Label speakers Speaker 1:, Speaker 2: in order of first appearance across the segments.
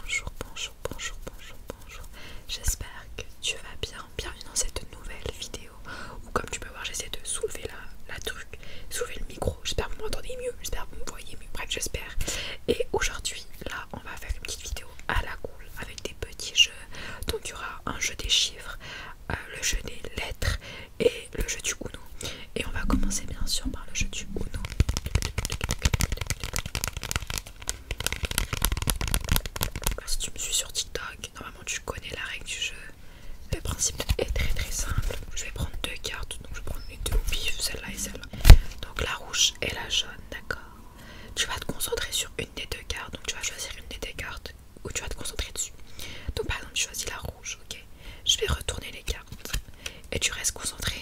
Speaker 1: Bonjour, bonjour, bonjour, bonjour, bonjour. J'espère que tu vas bien. Bienvenue dans cette nouvelle vidéo où, comme tu peux voir, j'essaie de soulever la, truc, soulever le micro. J'espère que vous m'entendez mieux, j'espère que vous me voyez mieux. Bref, j'espère. Et aujourd'hui, là, on va faire une petite vidéo à la cool avec des petits jeux. Donc, il y aura un jeu des chiffres, euh, le jeu des lettres et le jeu du Uno. Et on va commencer, bien sûr, par le jeu du Uno. Ah, si tu me suis sur TikTok, normalement tu connais la règle du jeu. Le principe est très très simple. Je vais prendre deux cartes, donc je vais prendre les deux au celle-là et celle-là. Donc la rouge et la jaune, d'accord. Tu vas te concentrer sur une des deux cartes, donc tu vas choisir une des deux cartes où tu vas te concentrer dessus. Donc par exemple, tu choisis la rouge, ok. Je vais retourner les cartes et tu restes concentré.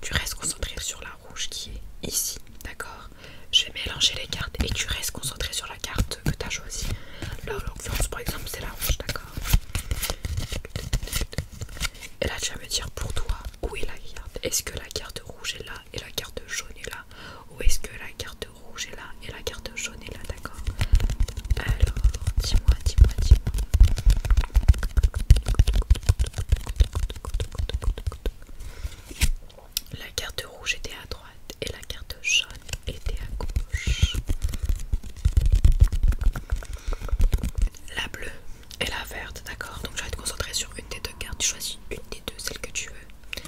Speaker 1: Tu restes concentré sur la rouge qui est ici, d'accord Je vais mélanger les cartes et tu restes concentré sur la carte que tu as choisie. Là, par exemple, c'est la rouge, d'accord Et là, tu vas me dire pour toi où est la carte. Est-ce que la carte rouge est là et la carte jaune est là Ou est-ce que la carte rouge est là et la carte jaune est là, d'accord Alors, dis-moi, dis-moi, dis-moi. La carte rouge était à droite et la carte jaune était à gauche. La bleue et la verte, d'accord Donc je vais te concentrer sur une des deux cartes. Tu choisis une des deux, celle que tu veux.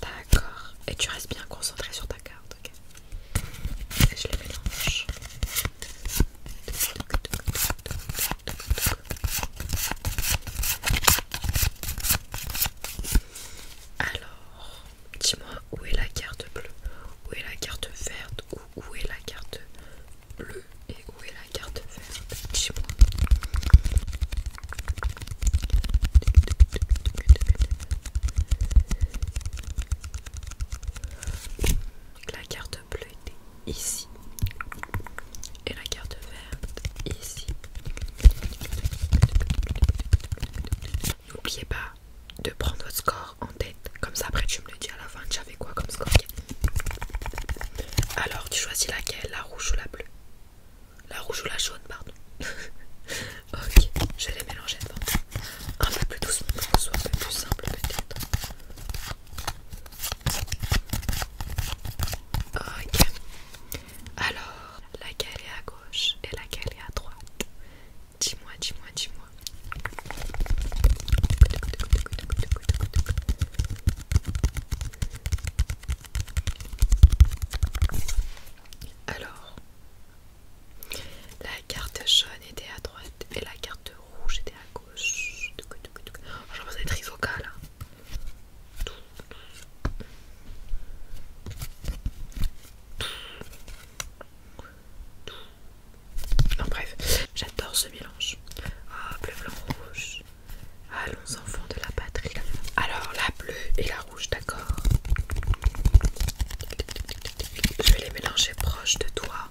Speaker 1: D'accord. Et tu restes bien concentré sur ta carte, ok Et je les mélange. Alors, dis-moi où est la carte bleue, où est la carte verte, où, est la carte bleue et où est la carte verte Dis-moi. La carte ici et la carte verte ici. N'oubliez pas de prendre votre score en tête, comme ça après tu me le dis à la fin, j'avais quoi comme score Alors tu choisis laquelle, la rouge ou la bleue La rouge ou la jaune, pardon Ok, je vais les mélanger devant. Un peu plus doucement soit un peu plus simple peut-être. Ok. Alors, laquelle est à gauche et laquelle est à droite Dis-moi, dis-moi, dis-moi. Alors, la carte jaune était à droite et la carte rouge était à gauche. J'ai l'impression d'être isoca Non, bref, j'adore ce mélange. Ah, bleu, blanc, rouge. Allons, enfants de la patrie. Alors, la bleue et la rouge, d'accord Je vais les mélanger proche de toi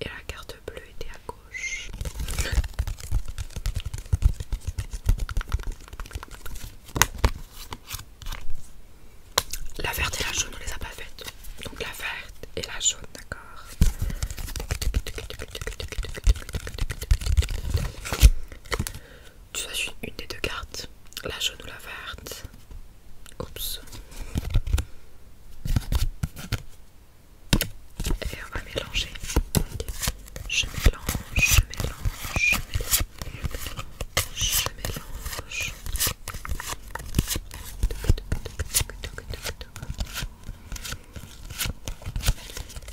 Speaker 1: et la carte bleue était à gauche. La verte et la jaune, on les a pas faites. Donc la verte et la jaune, d'accord. Tu choisis une des deux cartes, la jaune ou la verte. Oups. Et on va mélanger. Je mélange, je mélange, je mélange, je mélange.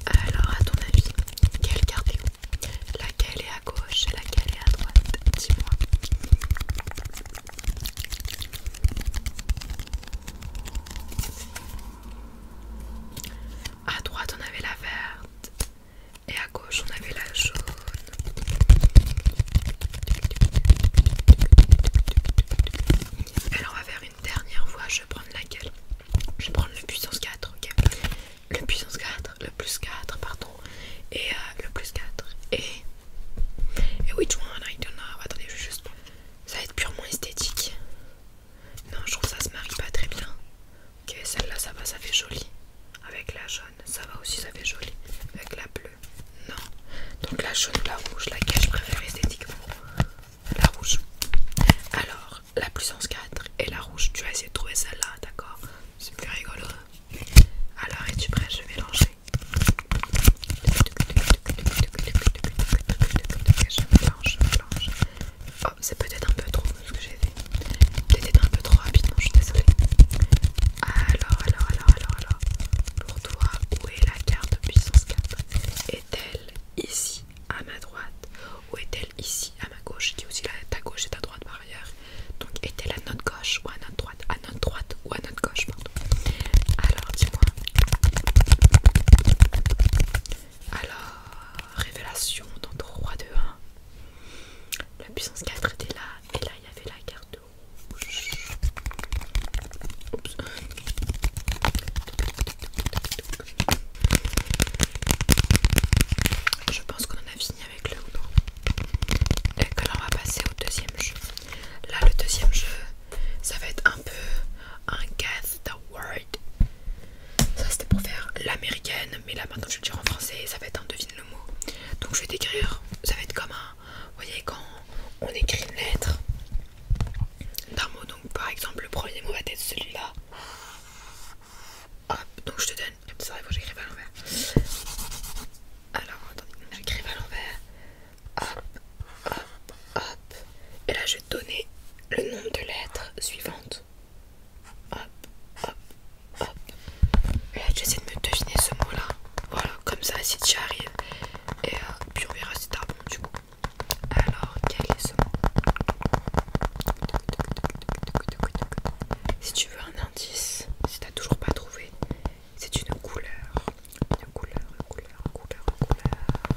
Speaker 1: Alors, à ton avis, quelle carte Laquelle est à gauche et laquelle est à droite Dis-moi. À droite, on avait la verte et à gauche, on avait la jaune. Alors, on va faire une dernière fois. Je vais prendre laquelle Je vais prendre le puissance 4, ok Le puissance 4, le plus 4, pardon, et euh, le plus 4. Et et oui, tu vois, il Attendez, juste. Ça va être purement esthétique. Non, je trouve ça se marie pas très bien. Ok, celle-là, ça va, ça fait joli. Avec la jaune, ça va aussi, ça fait joli. Avec la bleue, non. Donc la jaune la rouge, laquelle je préfère esthétiquement La rouge. Alors, la puissance 4 et la rouge, tu vas essayer de trouver celle-là, d'accord C'est plus rigolo. Alors, es-tu prêt Je vais mélanger. Oh, c'est peut-être un peu trop ce que j'ai fait. Peut-être un peu trop rapidement, je suis désolée. Alors, alors, alors, alors, alors. Pour toi, où est la carte puissance 4 Est-elle ici à ma droite ou est-elle ici à ma gauche y a aussi la, ta gauche et ta droite par ailleurs. Donc, est-elle à notre gauche ou à notre droite à notre droite ou à notre gauche, pardon. Alors, dis-moi. Alors, révélation dans 3, 2, 1. La puissance 4 était là, et là il y avait la carte rouge. Je pense qu'on en a fini avec le ou Et là on va passer au deuxième jeu. Là, le deuxième jeu, ça va être un peu un Guess the Word. Ça, c'était pour faire l'américaine, mais là maintenant je vais le dire en français, ça va être un devine le mot. Donc, je vais t'écrire, ça va être comme un. Vous voyez, quand on écrit une lettre d'un mot, donc par exemple, le premier mot va être celui-là. donc je te donne. C'est vrai, l'envers. Alors attendez, écrive à l'envers. Hop, hop, hop. Et là je vais te donner le nombre de lettres suivantes. Hop, hop, hop. Et là j'essaie de me deviner ce mot-là. Voilà, comme ça si tu arrives. Et euh, puis on verra si t'as bon du coup. Alors, quel est ce mot Si tu veux un indice, si t'as toujours pas trouvé, c'est une couleur, une couleur, couleur, couleur,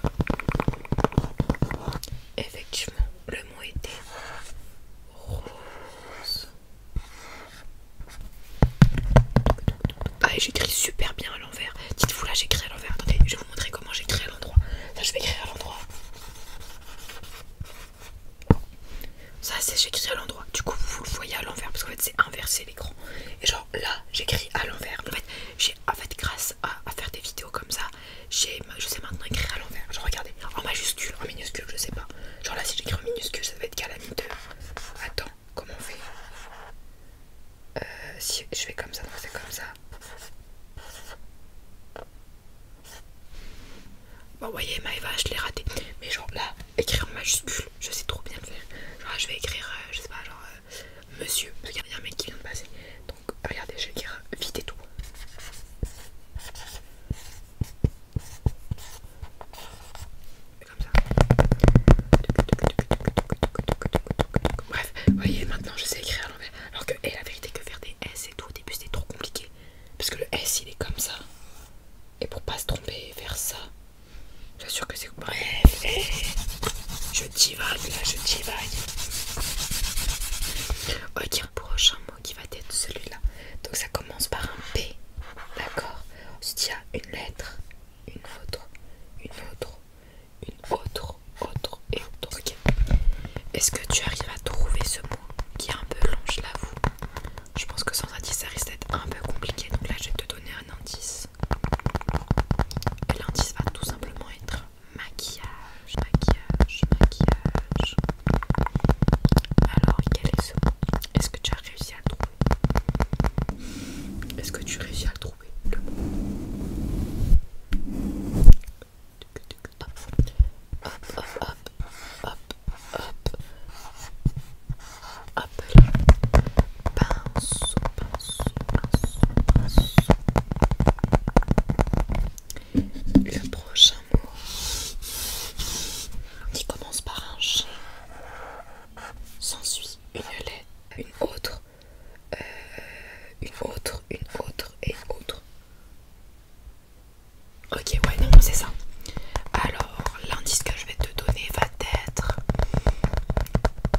Speaker 1: une couleur. Effectivement, le mot était rose. Ah, j'écris super bien à l'envers. Dites-vous là, j'écris à l'envers. Attendez, je vais vous montrer comment j'écris à l'endroit. Ça je vais écrire à l'endroit. Ça c'est j'écris à l'endroit. Du coup vous, le voyez à l'envers parce qu'en fait c'est inversé l'écran. Et genre là j'écris à l'envers. En fait j'ai en fait grâce à, faire des vidéos comme ça, j'ai je sais maintenant écrire à l'envers. Genre regardez, en majuscule, en minuscule, je sais pas. Genre là si j'écris en minuscule ça va être calamiteux. Attends, comment on fait euh, si je fais comme ça, c'est comme ça. Bon, bah, vous voyez, Maëva, je l'ai raté. Mais genre là, écrire en majuscule, je sais trop bien le faire. je vais écrire, euh, je sais pas, genre euh, monsieur, parce il y a un mec qui vient de passer. Donc, regardez, je vais écrire euh, vite et tout. Comme ça. Bref, vous voyez, maintenant je sais écrire à l'envers. Alors que, et la vérité, que faire des S et tout au début c'était trop compliqué. Parce que le S il est comme ça. Et pour pas se tromper, faire ça. J'assure que c'est. Bref, je divague là, je divague. Ok, prochain mot qui va être celui-là. Donc ça commence par un P, d'accord Ensuite il y une lettre, une autre, une autre, une autre, autre et autre. Est-ce que tu arrives à trouver ce mot qui est un peu long, je l'avoue je pense que sans indice ça risque d'être un peu compliqué, donc là je vais te donner un indice. l'indice va tout simplement être maquillage, maquillage, maquillage. Alors quel est ce Est-ce que tu as réussi à le trouver Est-ce que tu réussis à le trouver le Hop, hop, hop, hop, appelé Pinceau, pinceau, pinceau, pinceau. Le prochain mot. qui commence par un G. S'ensuit une lettre, une autre, euh, une autre, une autre et une autre. Ok, ouais, non, c'est ça. Alors, l'indice que je vais te donner va d'être être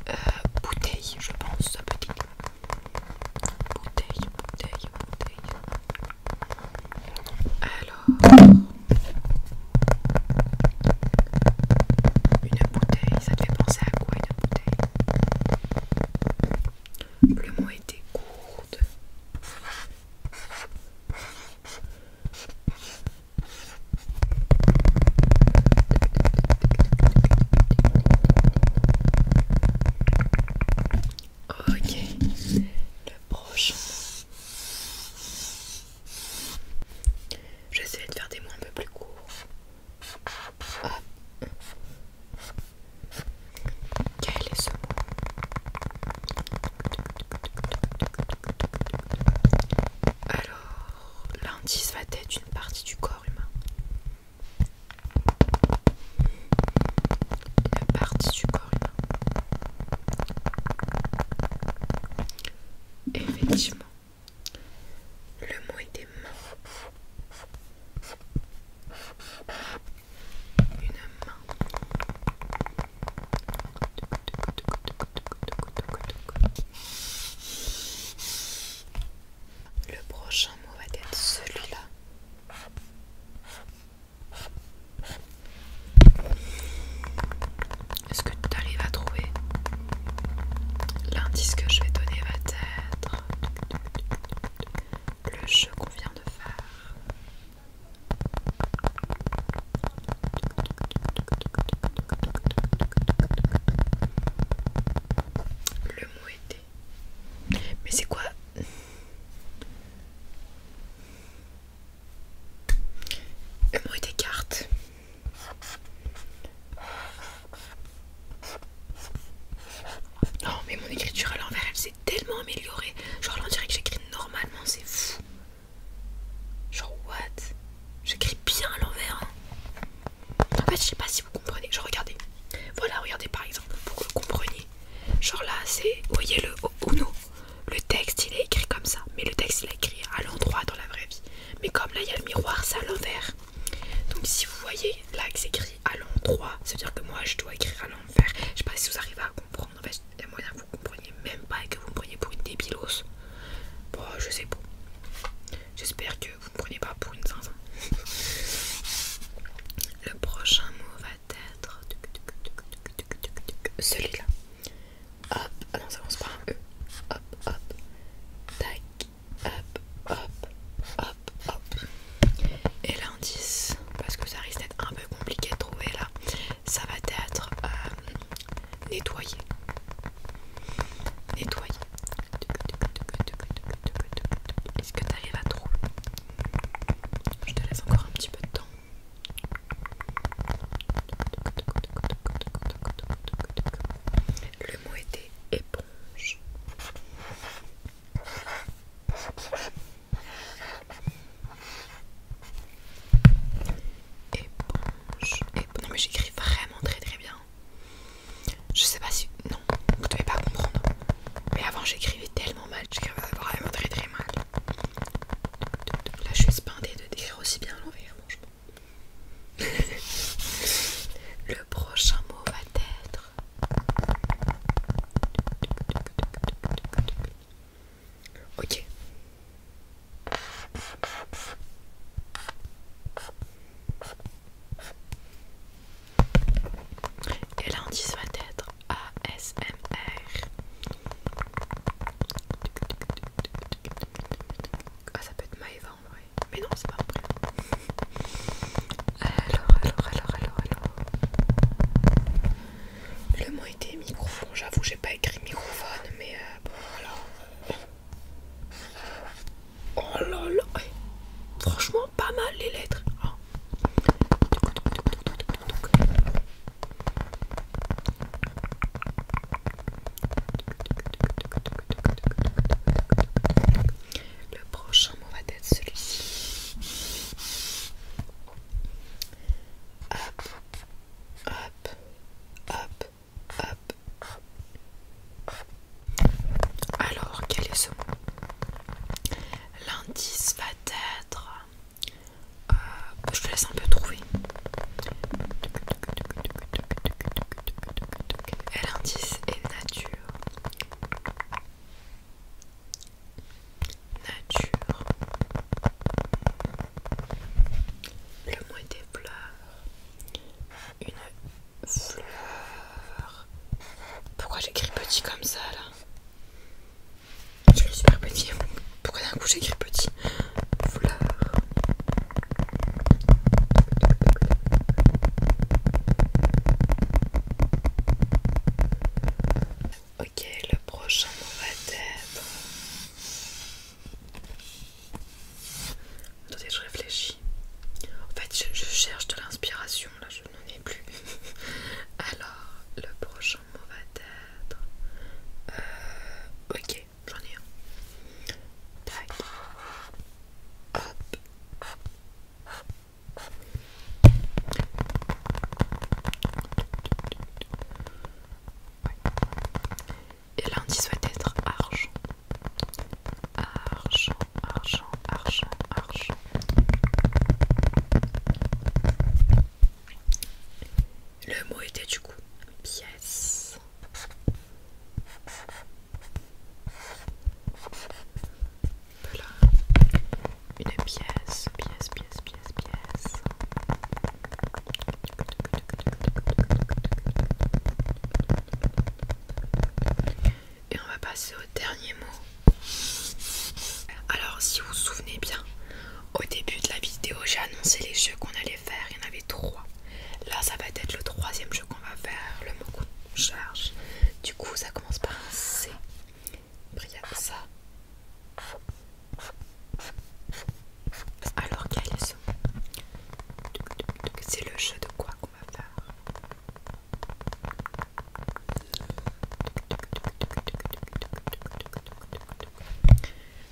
Speaker 1: euh, bouteille, je pense, peut petite Bouteille, bouteille, bouteille. Alors, une bouteille, ça te fait penser à quoi une bouteille Le mot était gourde. Ok, le prochain. J'essaie de faire des mots un peu plus courts. Quel est ce mot alors, l'indice va être une partie du corps humain. Une partie du corps humain. Effectivement, le mot des mains Une main. Le prochain mot va être celui-là. Est-ce que tu arrives à trouver L'indice que je vais donner va être le jeu qu'on vient de faire. Le mot était. Mais c'est quoi Le mot était carte. Non, oh, mais mon écriture à l'envers, elle s'est tellement améliorée. Genre, là, on dirait que j'écris normalement, c'est fou. Genre, what J'écris bien à l'envers. Hein. En fait, je sais pas si vous comprenez. Genre, regardez. Voilà, regardez par exemple, pour que vous compreniez. Genre là, c'est. Voyez le Uno. Le texte, il est écrit comme ça. Mais le texte, il est écrit à l'endroit dans la vraie vie. Mais comme là, il y a le miroir, c'est à l'envers. Donc, si vous voyez là que c'est écrit à l'endroit, ça veut dire que moi, je dois écrire à l'envers. Je sais pas si vous arrivez à comprendre. En fait, il y a moyen vous vous compreniez même pas et que vous me preniez pour une débilose. Bon, je sais pas. J'espère que vous me prenez pas pour une zinzin. Le prochain mot va être celui-là. Hop, ah non, ça commence par un E. Hop, hop, tac, hop, hop, hop, hop. Et l'indice, parce que ça risque d'être un peu compliqué à trouver là, ça va être euh, nettoyer. Nettoyer. Est-ce que tu arrives à trop Je te laisse encore un petit peu de temps. Le mot était éponge. Éponge. Non mais j'écris vraiment très très bien. Je sais pas si... Non, vous devez pas comprendre. Mais avant j'écrivais tellement mal, j'écrivais vraiment très très mal. Là je suis spindée de décrire aussi bien l'envers, Le prochain mot va être... Ok. Et là on dit va être ASMR. Ah, ça peut être ma Mais non, c'est pas vrai. Alors, alors, alors, alors, alors. Des microphones, microphone. J'avoue, j'ai pas écrit microphone, mais euh, bon, voilà. Oh là là, franchement, pas mal les lettres. Ah. Le prochain mot va être celui-ci. Hop, Alors, quel est ce mot L'indice va être... Euh, je te laisse un peu trouver. Et l'indice est nature. Nature le est des fleurs, une fleur. Pourquoi j'écris petit comme ça là Je suis super petit. Pourquoi d'un coup j'écris petit Fleur. Ok, le prochain mot va être Attendez, je réfléchis. En fait, je, cherche de l'inspiration, là, je n'en ai plus. Alors, le prochain mot va être... Euh, ok, j'en ai un et lundi va être argent. Argent, argent, argent, argent. Le mot était du coup pièce. Voilà. Une pièce, pièce, pièce, pièce. Et on va passer au dernier mot. Alors, si vous vous souvenez bien, au début de la vidéo, j'ai annoncé les jeux qu'on allait faire. Il y en avait trois. Là, ça va être le troisième jeu qu'on va faire, le mot qu'on charge. Du coup, ça commence par un C. ça alors qu'est-ce que C'est le jeu de quoi qu'on va faire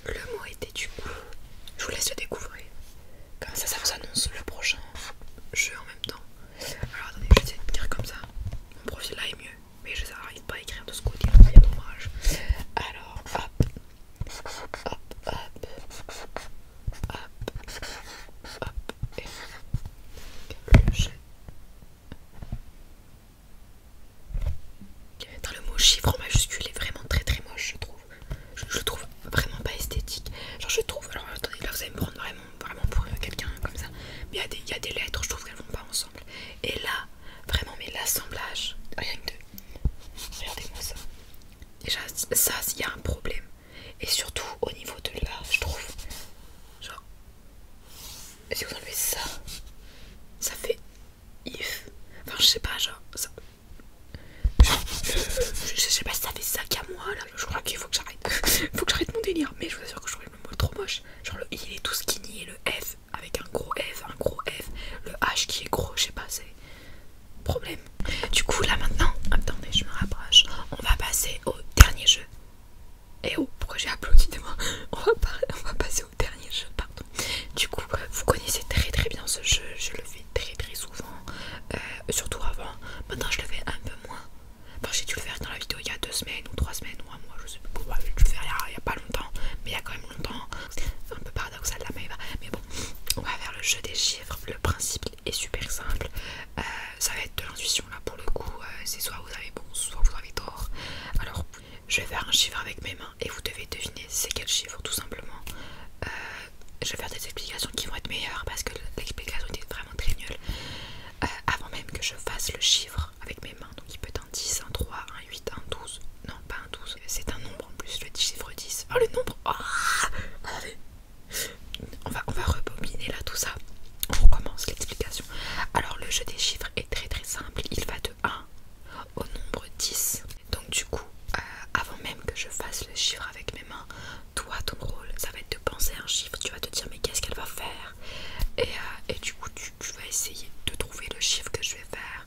Speaker 1: Le mot était du coup. Je vous laisse le découvrir. Comme ça, ça vous annonce le prochain jeu en même temps. Alors attendez, je vais essayer de dire comme ça. Mon profil là est mieux, mais je n'arrive pas à écrire de ce côté, dit Alors hop le mot chiffre majuscule est vraiment très très moche, je trouve. Je, le trouve vraiment pas esthétique. Genre, je trouve. Alors, attendez, là vous allez me prendre vraiment, vraiment pour quelqu'un comme ça. Mais il y, y a des lettres, je trouve qu'elles vont pas ensemble. Et là, Vraiment, mais l'assemblage, rien Regardez-moi ça. Déjà, ça, il y a un problème. Et surtout au niveau de là, je trouve. Genre. Si vous enlevez ça, ça fait if. Enfin, je sais pas, genre. Je, sais pas si ça fait ça qu'à moi là. Je crois qu'il faut que j'arrête. faut que j'arrête mon délire. Mais je vous assure que je trouve le mot trop moche. Genre, il est tout skinny et le f avec un gros F, un gros F, le H qui est gros, je sais pas, c'est problème. Du coup, là maintenant, attendez, je me rapproche, on va passer au dernier jeu. Et eh oh, pourquoi j'ai applaudi de moi on va, on va passer au dernier jeu, pardon. Du coup, vous connaissez très très bien ce jeu, je le fais très très souvent, euh, surtout avant. Maintenant, je le fais un peu moins. Enfin, j'ai dû le faire dans la vidéo il y a deux semaines ou trois semaines ou un mois, je sais pas. pourquoi. j'ai bah, je le fais il y, il y a pas longtemps, mais il y a quand même longtemps un peu paradoxal la mais bon, on va faire le jeu des chiffres. Le principe est super simple. Euh, ça va être de l'intuition là pour le coup. Euh, c'est soit vous avez bon, soit vous avez tort. Alors, je vais faire un chiffre avec mes mains et vous devez deviner c'est quel chiffre tout simplement. Euh, je vais faire des explications qui vont être meilleures parce que l'explication était vraiment très nulle. avant même que je fasse le chiffre avec mes mains, donc il peut 10, 1 3, 1 8, 1 12. Non, pas un 12, c'est un nombre en plus, le chiffre 10. Oh, le nombre oh, on, va, rebobiner là tout ça. On recommence l'explication. Alors, le jeu des chiffres est très très simple. Il va de 1 au nombre 10. Donc, du coup, euh, avant même que je fasse le chiffre avec mes mains, toi, ton rôle, ça va être de penser un chiffre. Tu vas te dire, mais qu'est-ce qu'elle va faire euh, et, du coup, tu vas essayer de trouver le chiffre que je vais faire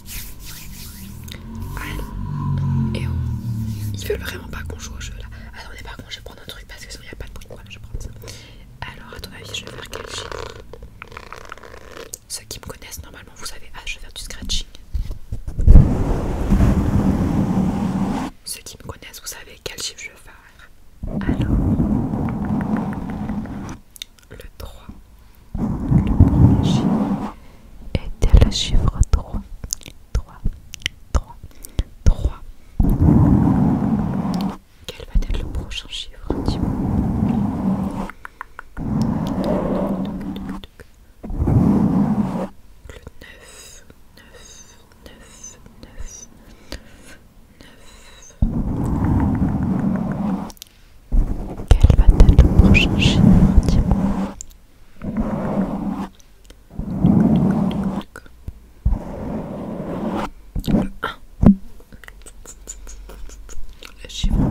Speaker 1: Allez, et veulent vraiment pas qu'on joue au jeu là. Attendez, par contre, je vais prendre un truc parce que sinon il n'y a pas de bruit. je Alors, à ton avis, je vais faire quel chiffre Ceux qui me connaissent, normalement, vous savez. Ah, je vais faire du scratching. Ceux qui me connaissent, vous savez quel chiffre je vais faire. Alors, le 3. Le premier chiffre était le chiffre 3. 3, 3, 3. Quel va être le prochain chiffre dis 9, 9, 9, 9, 9. Quel va t être le prochain chinois, dis-moi Le 1 Le chiffre 1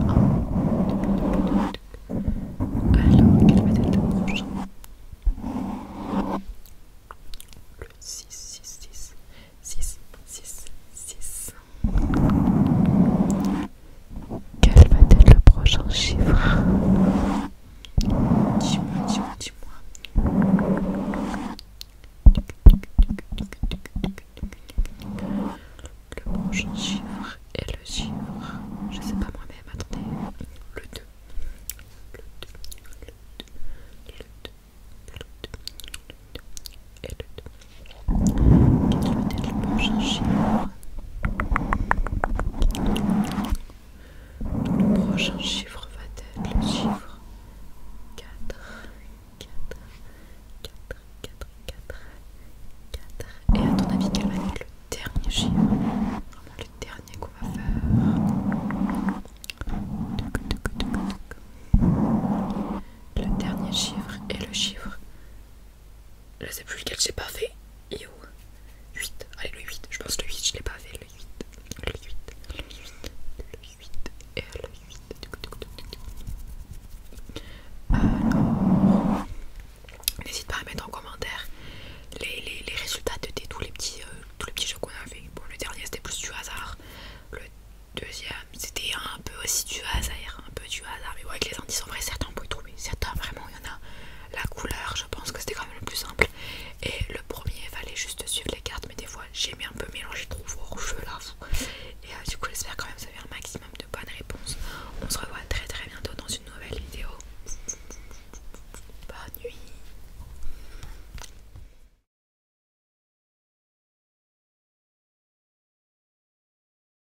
Speaker 1: Alors, quel va t être le prochain Le 6, 6, 6 6, 6, 6 quel va être le prochain chiffre Dis-moi, dis-moi, dis-moi. Le prochain chiffre est le chiffre, je sais pas moi-même, attendez, le 2. Le 2, le 2, le 2, le 2, le 2 et le 2. Quel va être le prochain chiffre Le prochain chiffre va être le chiffre 4, 4, 4, 4, 4, 4. Et à ton avis, quel va être le dernier chiffre Vraiment le dernier qu'on va faire. Le dernier chiffre est le chiffre je sais plus lequel j'ai pas fait. Et où 8, allez le 8, je pense le 8 je l'ai pas fait, le 8, le 8, le 8, le 8 et le 8. Alors, n'hésite pas à mettre en commentaire les, résultats de tous, les petits, euh, tous les petits jeux qu'on a fait. Bon, le dernier c'était plus du hasard, le deuxième c'était un peu aussi du hasard un peu du hasard, mais ouais avec les indices en vrai, certains on peut y trouver, certains vraiment il y en a. La couleur, je pense que c'était quand même le plus simple. Et le premier, fallait juste suivre les cartes, mais des fois j'ai mis un peu mélangé trop fort Je là. Et euh, du coup, j'espère quand même que ça fait un maximum de bonnes réponses. On se revoit très très bientôt dans une nouvelle vidéo. Bonne nuit.